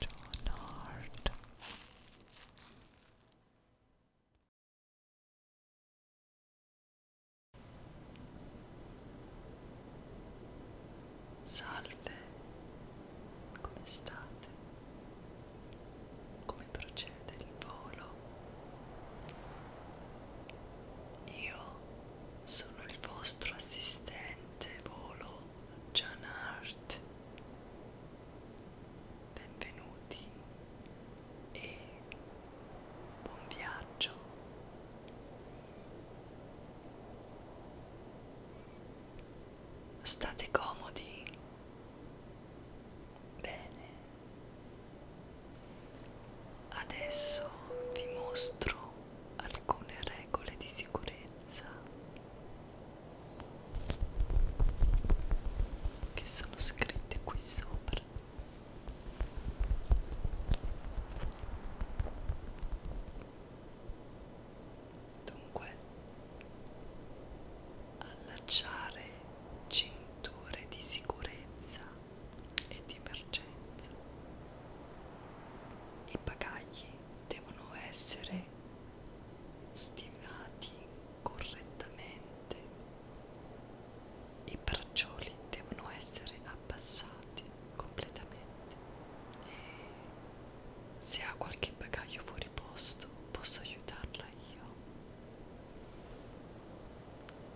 John Hart Salve, come state? Come procede il volo? Io sono il vostro assistente volo John Hart. Benvenuti e buon viaggio. State comodi. Bene. Adesso vi mostro alcune regole di sicurezza che sono scritte qui sopra. Dunque, allacciare cinture di sicurezza e di emergenza. I bagagli devono essere stivati correttamente, i braccioli devono essere abbassati completamente e se ha qualche bagaglio fuori posto posso aiutarla io.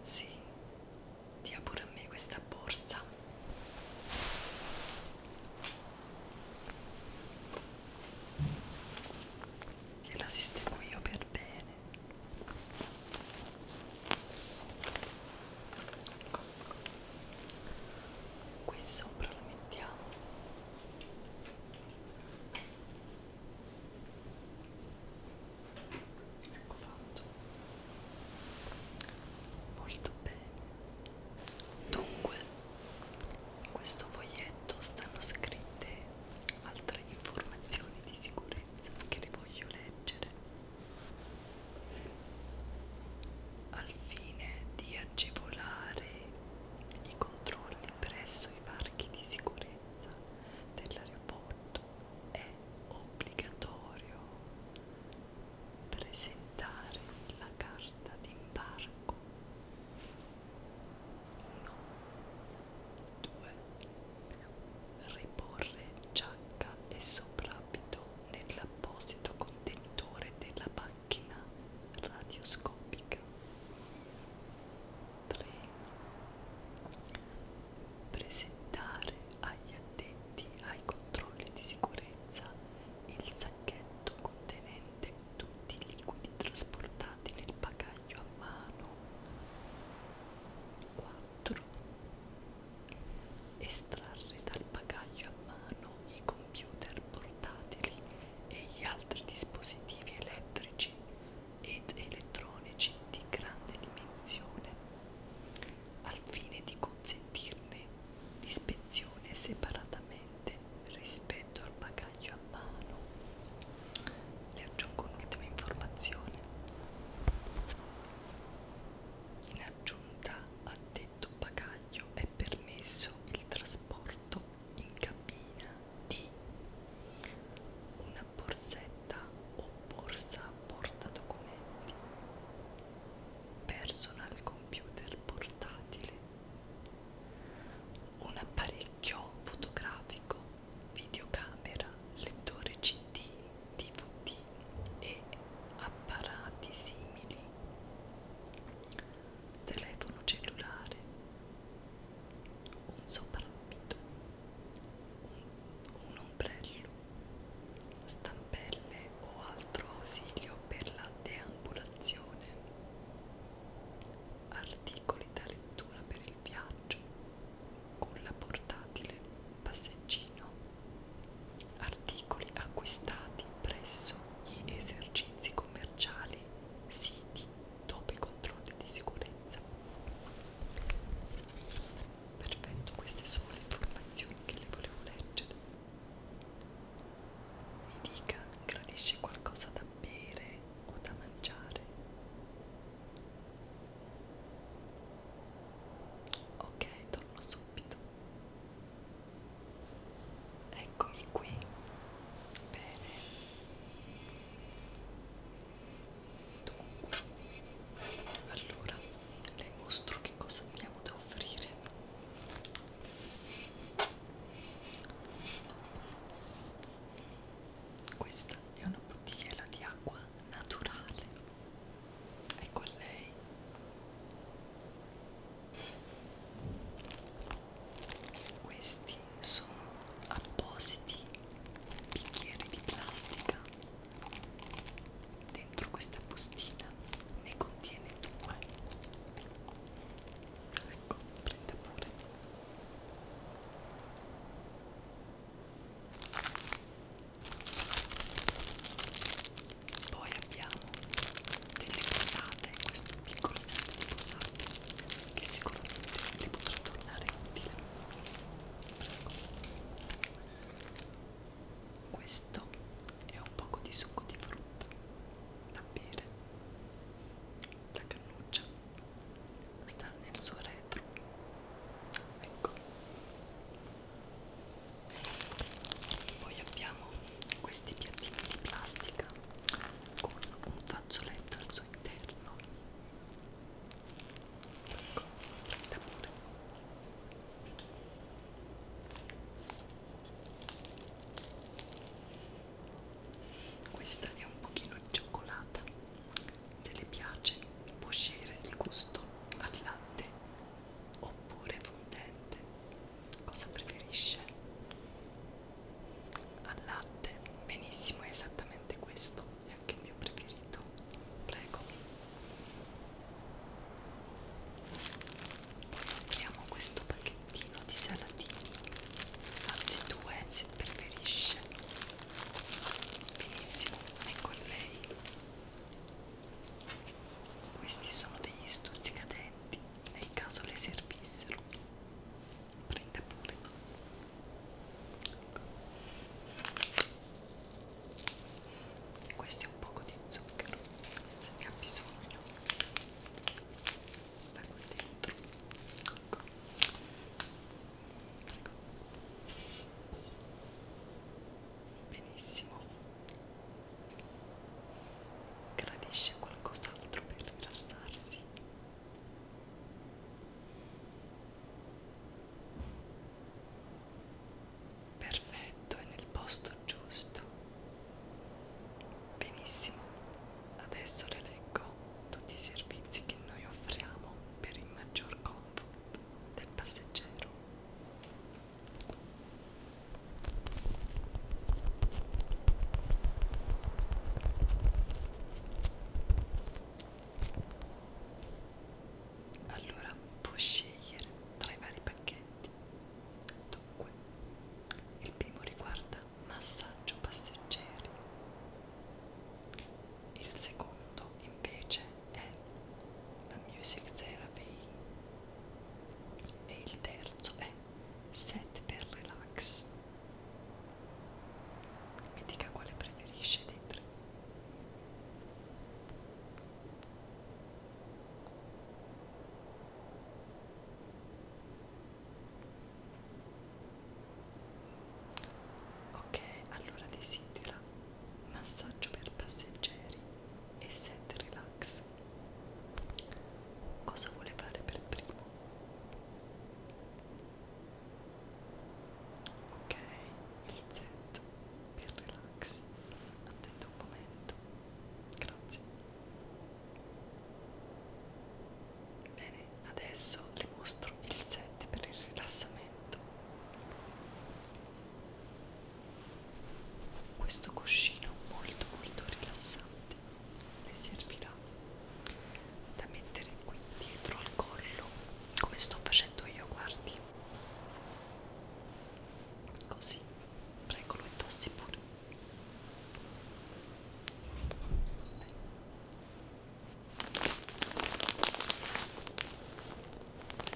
Sì, dia pure a me questa borsa che la sistemo io per bene ecco. qui sopra la mettiamo ecco fatto molto bene dunque in questo foglietto stanno scritte altre informazioni di sicurezza che le voglio leggere al fine di agevolare i controlli presso i parchi di sicurezza dell'aeroporto punto è obbligatorio presentare la carta d'imbarco 1 2 riporre giacca e soprabito nell'apposito contenitore della macchina radioscopica 3 presentare agli addetti ai controlli di sicurezza il sacchetto contenente tutti i liquidi trasportati nel bagaglio a mano. 4. Estrarre dal bagaglio a mano i computer portatili e gli altri dispositivi elettrici ed elettronici di grande dimensione al fine di consentirne l'ispezione separatamente rispetto al bagaglio a mano. Le aggiungo un'ultima informazione. In aggiunta a detto bagaglio è permesso il trasporto in cabina di una una borsetta o borsa porta documenti, personal computer portatile, un apparecchio fotografico, videocamera, lettore CD, DVD e apparati simili, telefono cellulare, un soprabito, un, un ombrello, stampelle o altro ausilio per la deambulazione, articoli da lettura per il viaggio, culla portatile, passeggino, articoli acquistati presso gli esercizi commerciali, siti dopo i controlli di sicurezza. Perfetto, queste sono le informazioni che le volevo leggere. Mi dica, gradisce qualcosa da bere o da mangiare? Ok, torno subito. Eccomi qui. Bene. Dunque, allora le mostro che cosa abbiamo da offrire. Questa è una bottiglia di acqua naturale. Ecco lei. Questi sono appositi bicchieri di plastica dentro questa postina ne contiene due ecco prende pure poi abbiamo delle posate questo piccolo set di posate che sicuramente vi potrà tornare utile questo è un poco di succo di frutta da bere. La cannuccia sta nel suo retro. Ecco. Poi abbiamo questi piattini di plastica con un fazzoletto al suo interno Ecco, d'amore. Questa è un pochino di cioccolata, se le piace può scegliere il gusto al latte oppure fondente. Cosa preferisce? Al latte, benissimo, è esattamente questo è anche il mio preferito prego poi apriamo questo pacchettino di salatini anzi due se preferisce benissimo ecco lei questi sono degli stuzzicadenti nel caso le servissero prende pure questo è un poco di zucchero se ne ha bisogno sta qua dentro ecco. benissimo gradisce qualcos'altro per rilassarsi Perfetto, è nel posto giusto. Benissimo, adesso rileggo tutti i servizi che noi offriamo per il maggior comfort del passeggero allora puoi scegliere tra i vari pacchetti dunque il primo riguarda massaggio passeggeri il secondo invece è la music therapy e il terzo è set per relax mi dica quale preferisce dei tre ok allora desidera massaggio per passeggeri e set relax cosa vuole fare per primo ok il Z per relax attendo un momento grazie bene adesso le mostro il Z per il rilassamento questo cuscino molto molto rilassante le servirà da mettere qui dietro al collo come sto facendo io guardi così prego lo indossi pure Beh.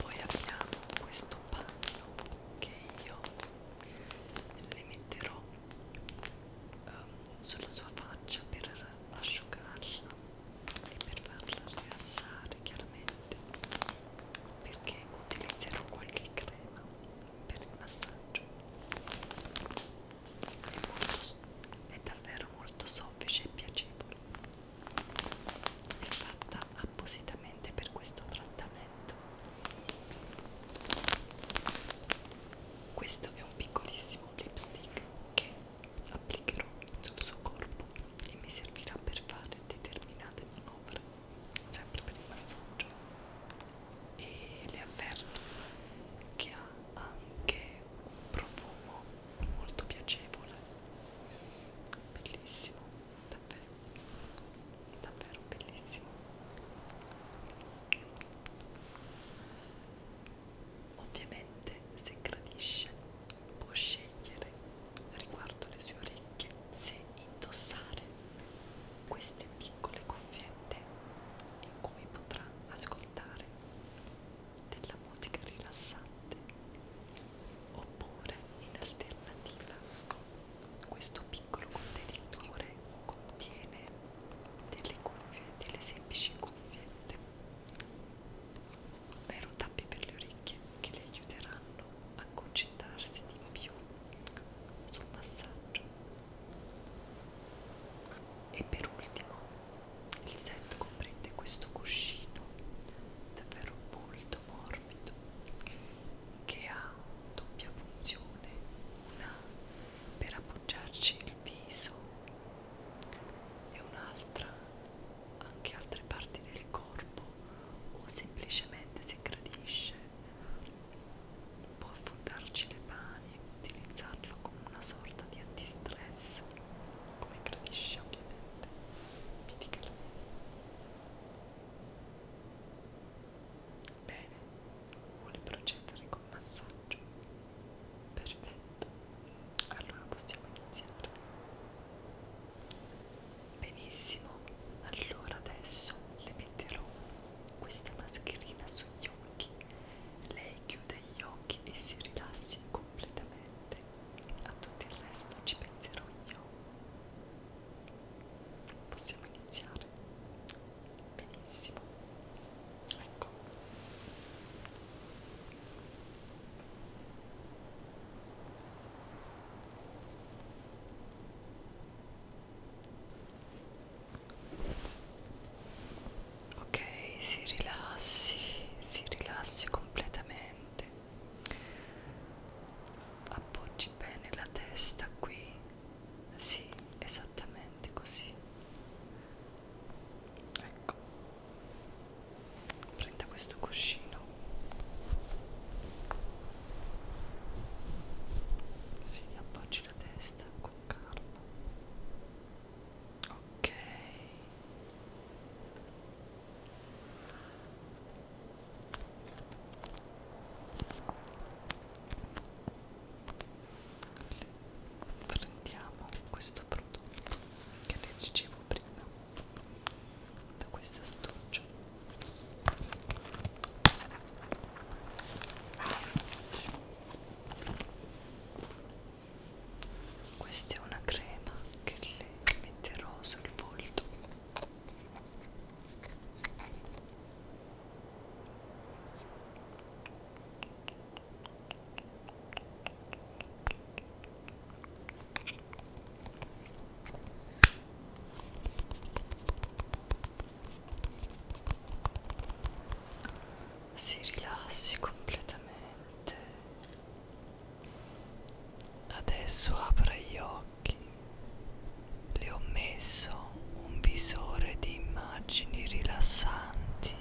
poi abbiamo questo panno che io le metterò um, sulla sua faccia per asciugarla e per farla rilassare chiaramente perché utilizzerò qualche crema per il massaggio è, molto, è davvero molto soffice e piacevole è fatta appositamente per questo trattamento questo è un piccolissimo lipstick che applicherò sul suo corpo e mi servirà per fare determinate manovre sempre per il massaggio e le avverto che ha anche un profumo molto piacevole bellissimo davvero davvero bellissimo Ovviamente se gradisce può scegliere riguardo le sue orecchie se indossare queste piccole cuffiette in cui potrà ascoltare della musica rilassante oppure in alternativa questo piccolo contenitore contiene delle cuffie, delle semplici cuffiette, ovvero tappi per le orecchie che le aiuteranno a concentrarsi di più sul massaggio. E per ultimo il set comprende questo cuscino davvero molto morbido che ha doppia funzione, una per appoggiarci il viso e un'altra anche altre parti del corpo o semplicemente se gradisce può affondarci le mani utilizzarlo come una sorta di antistress come gradisce ovviamente mi dica bene Vuole procedere col massaggio? Perfetto, allora possiamo iniziare. Benissimo, allora adesso le metterò questa mascherina sugli occhi. Lei chiude gli occhi e si rilassi completamente. A tutto il resto ci penserò io. Possiamo iniziare fare benissimo ecco ok si rilassi si rilassi completamente appoggi bene la testa qui sì, esattamente così. Ecco. Prenda questo cuscino. Sì, appoggi la testa con calma. Ok prendiamo questo prodotto che vi dicevo prima da questa astuccia questa è una crema che le metterò sul volto si rilassi completamente adesso apra gli occhi li ho messo creando un visore di immagini rilassanti.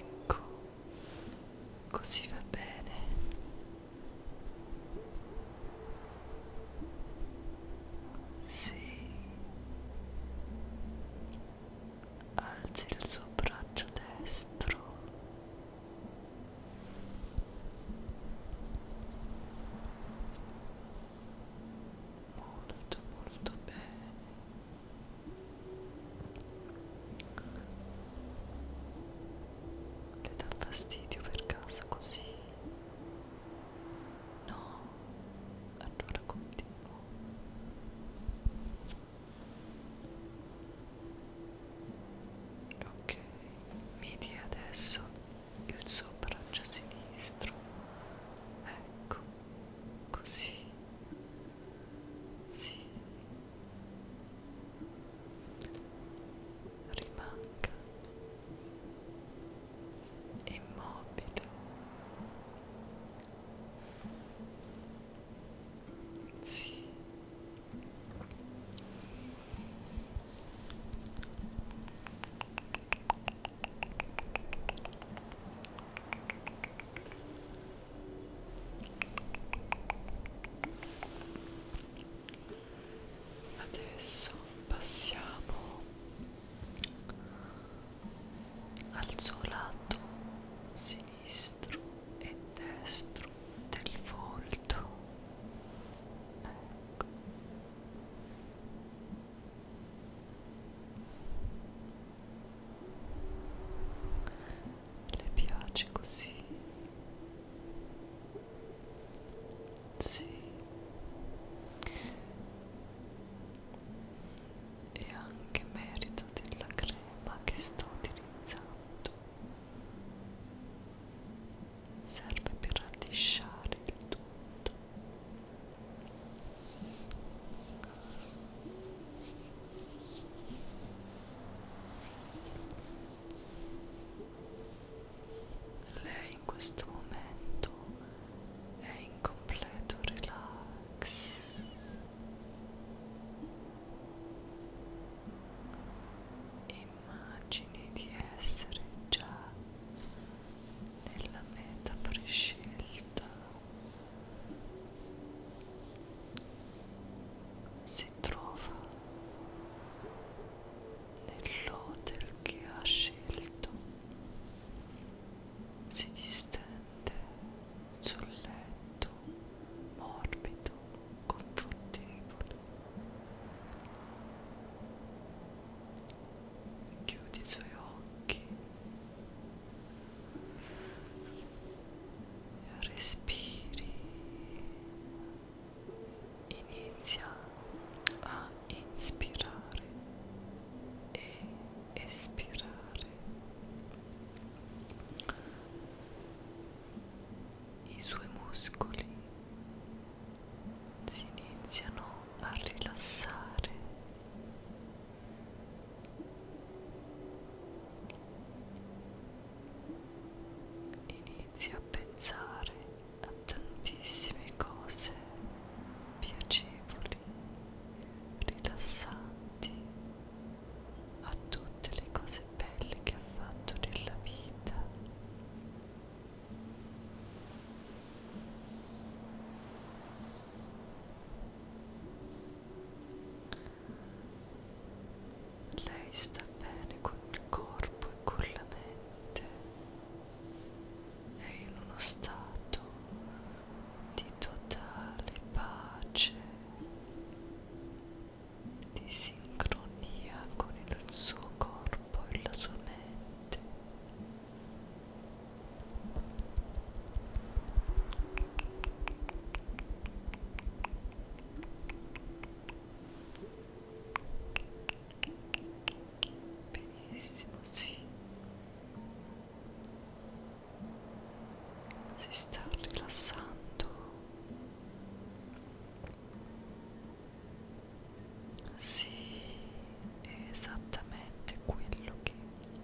Ecco, così va bene. Sì. Alzi il suo braccio destro molto molto bene le dà fastidio per caso così no allora continuo ok midi adesso il suo braccio sinistro ecco così sì rimanga immobile sì. Adesso passiamo al suo lato sinistro sinistro e destro del volto ecco le piace così sì e anche merito della crema che sto utilizzando serve per allisciare il tutto lei in questo momento è in completo relax Immagini di essere già nella meta prescelta. Si trova nell'hotel che ha scelto. Si distende mente sul letto morbido, confortevole. Chiudi i suoi occhi respiri inizia a inspirare e espirare i suoi muscoli si iniziano a rilassare inizi a pensare a tantissime cose piacevoli rilassanti a tutte le cose belle che ha fatto nella vita. Lei sta bene con il corpo e con la mente, è in uno stato di totale pace, di sincronia con il suo corpo e la sua mente. Benissimo, sì si sta rilassando sì è esattamente quello che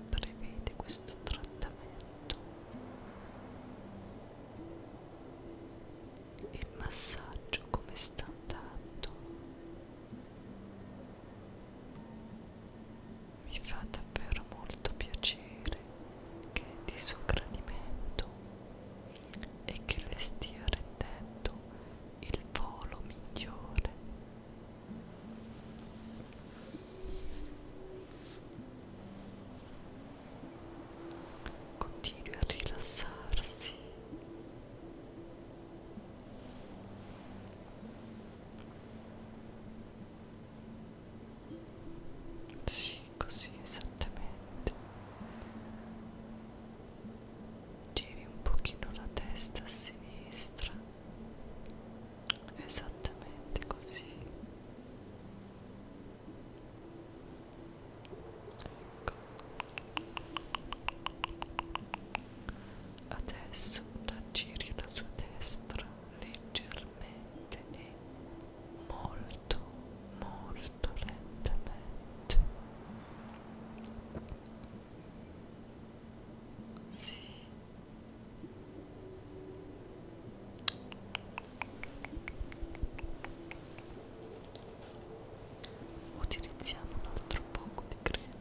prevede questo trattamento il massaggio come sta andando mi fa davvero molto piacere che di suo gradimento e che le stia rendendo il volo migliore. Continui a rilassarsi. Sì, così esattamente. Giri un pochino la testa a sinistra. Esattamente così. Ecco. Adesso la giri la sua destra leggermente lentene molto molto lentamente sì utilizziamo un altro poco di crema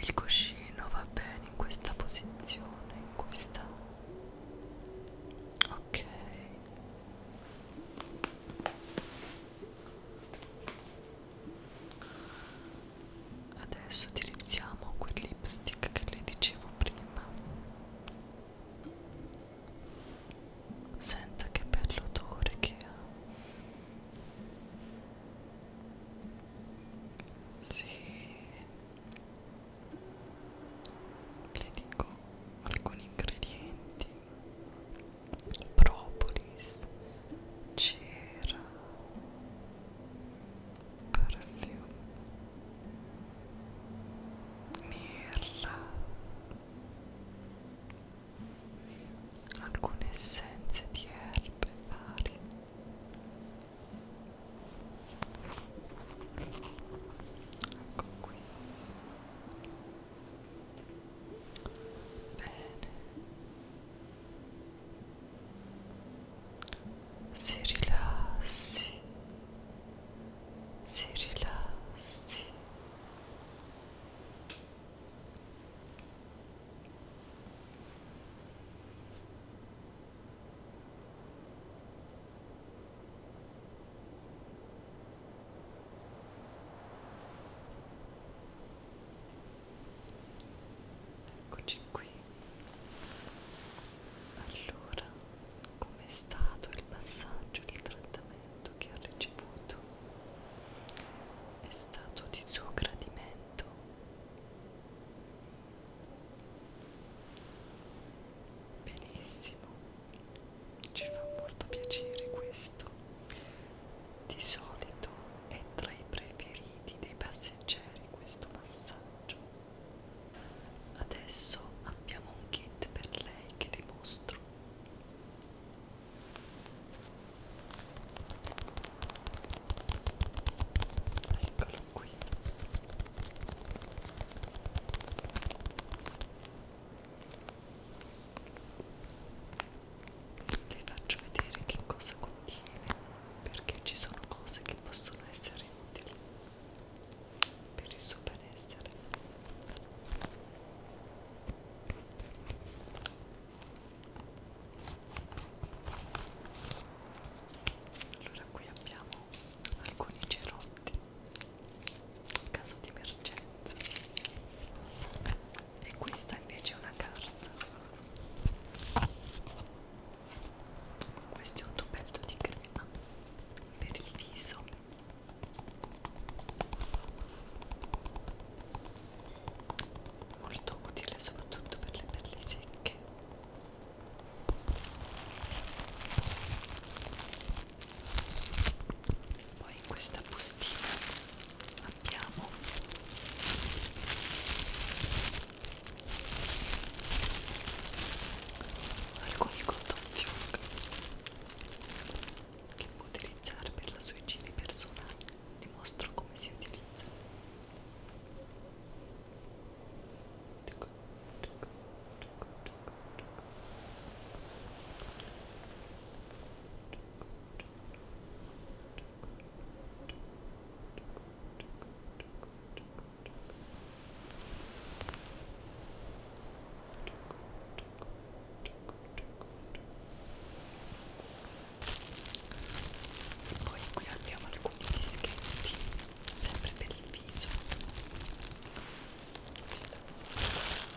Il cuscino va bene in questa posizione, in questa... Ok. Adesso utilizziamo quel lipstick che le dicevo prima Senta che bello odore che ha. Sì. Le dico alcuni ingredienti. Propolis, cera, perfume mirra alcune essenze di erbe varie ecco qui bene si rilassi, si rilassi. Eccoci qui allora, com'è stato il passaggio di trattamento che ha ricevuto? È stato di suo gradimento? Benissimo, ci fa molto piacere questo. Di solito è tra i preferiti dei passeggeri questo passaggio Adesso abbiamo un kit per lei che le mostro. Eccolo qui. Le faccio vedere che cosa contiene perché ci sono cose che possono essere utili per il suo benessere allora qui abbiamo alcuni cerotti in caso di emergenza e questa invece è una carta questo è un tubetto di crema per il viso molto utile soprattutto per le pelli secche poi in questa bustina abbiamo alcuni cotton fioc che può utilizzare per la sua igiene personale vi mostro come si utilizza poi qui abbiamo alcuni dischetti, sempre per il viso. Questa. Ecco.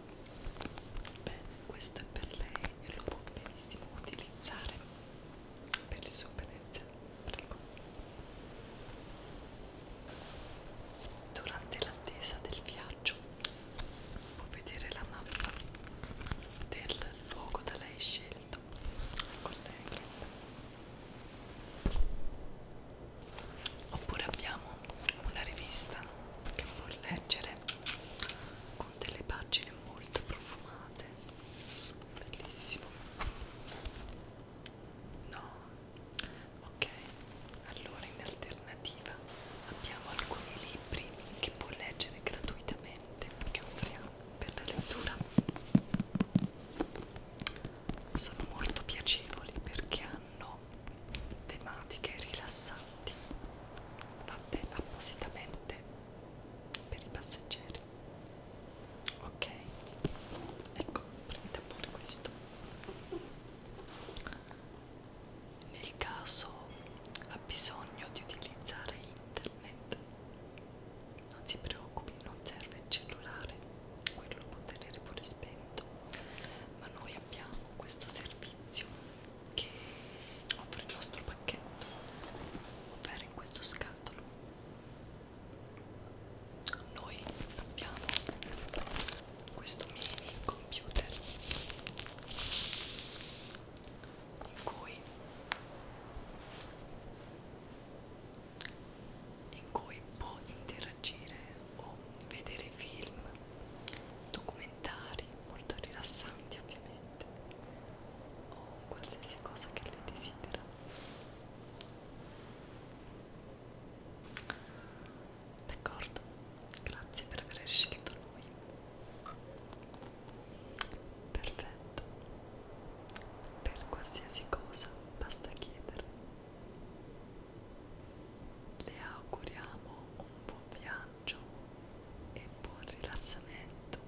bene questo è per lei e lo può benissimo utilizzare per il suo benessere prego durante l'attesa del viaggio può vedere la mappa del luogo da lei scelto collega ecco, oppure abbiamo una rivista che puoi leggere con delle pagine molto profumate bellissimo no ok allora in alternativa abbiamo alcuni libri che puoi leggere gratuitamente che offriamo per la lettura sono molto piacevoli perché hanno tematiche rilassanti fatte appositamente per i passeggeri ok ecco prendete pure questo nel caso ha bisogno di utilizzare internet non si preoccupi non serve il cellulare quello lo può tenere pure spento pagamento ma noi abbiamo questo servizio che offre il nostro pacchetto ovvero in questo scatolo noi abbiamo questo mini computer in cui in cui può interagire o vedere film documentari molto rilassanti ovviamente o qualsiasi cosa che lei desidera d'accordo grazie per aver scelto noi perfetto per qualsiasi cosa basta chiedere le auguriamo un buon viaggio e buon rilassamento.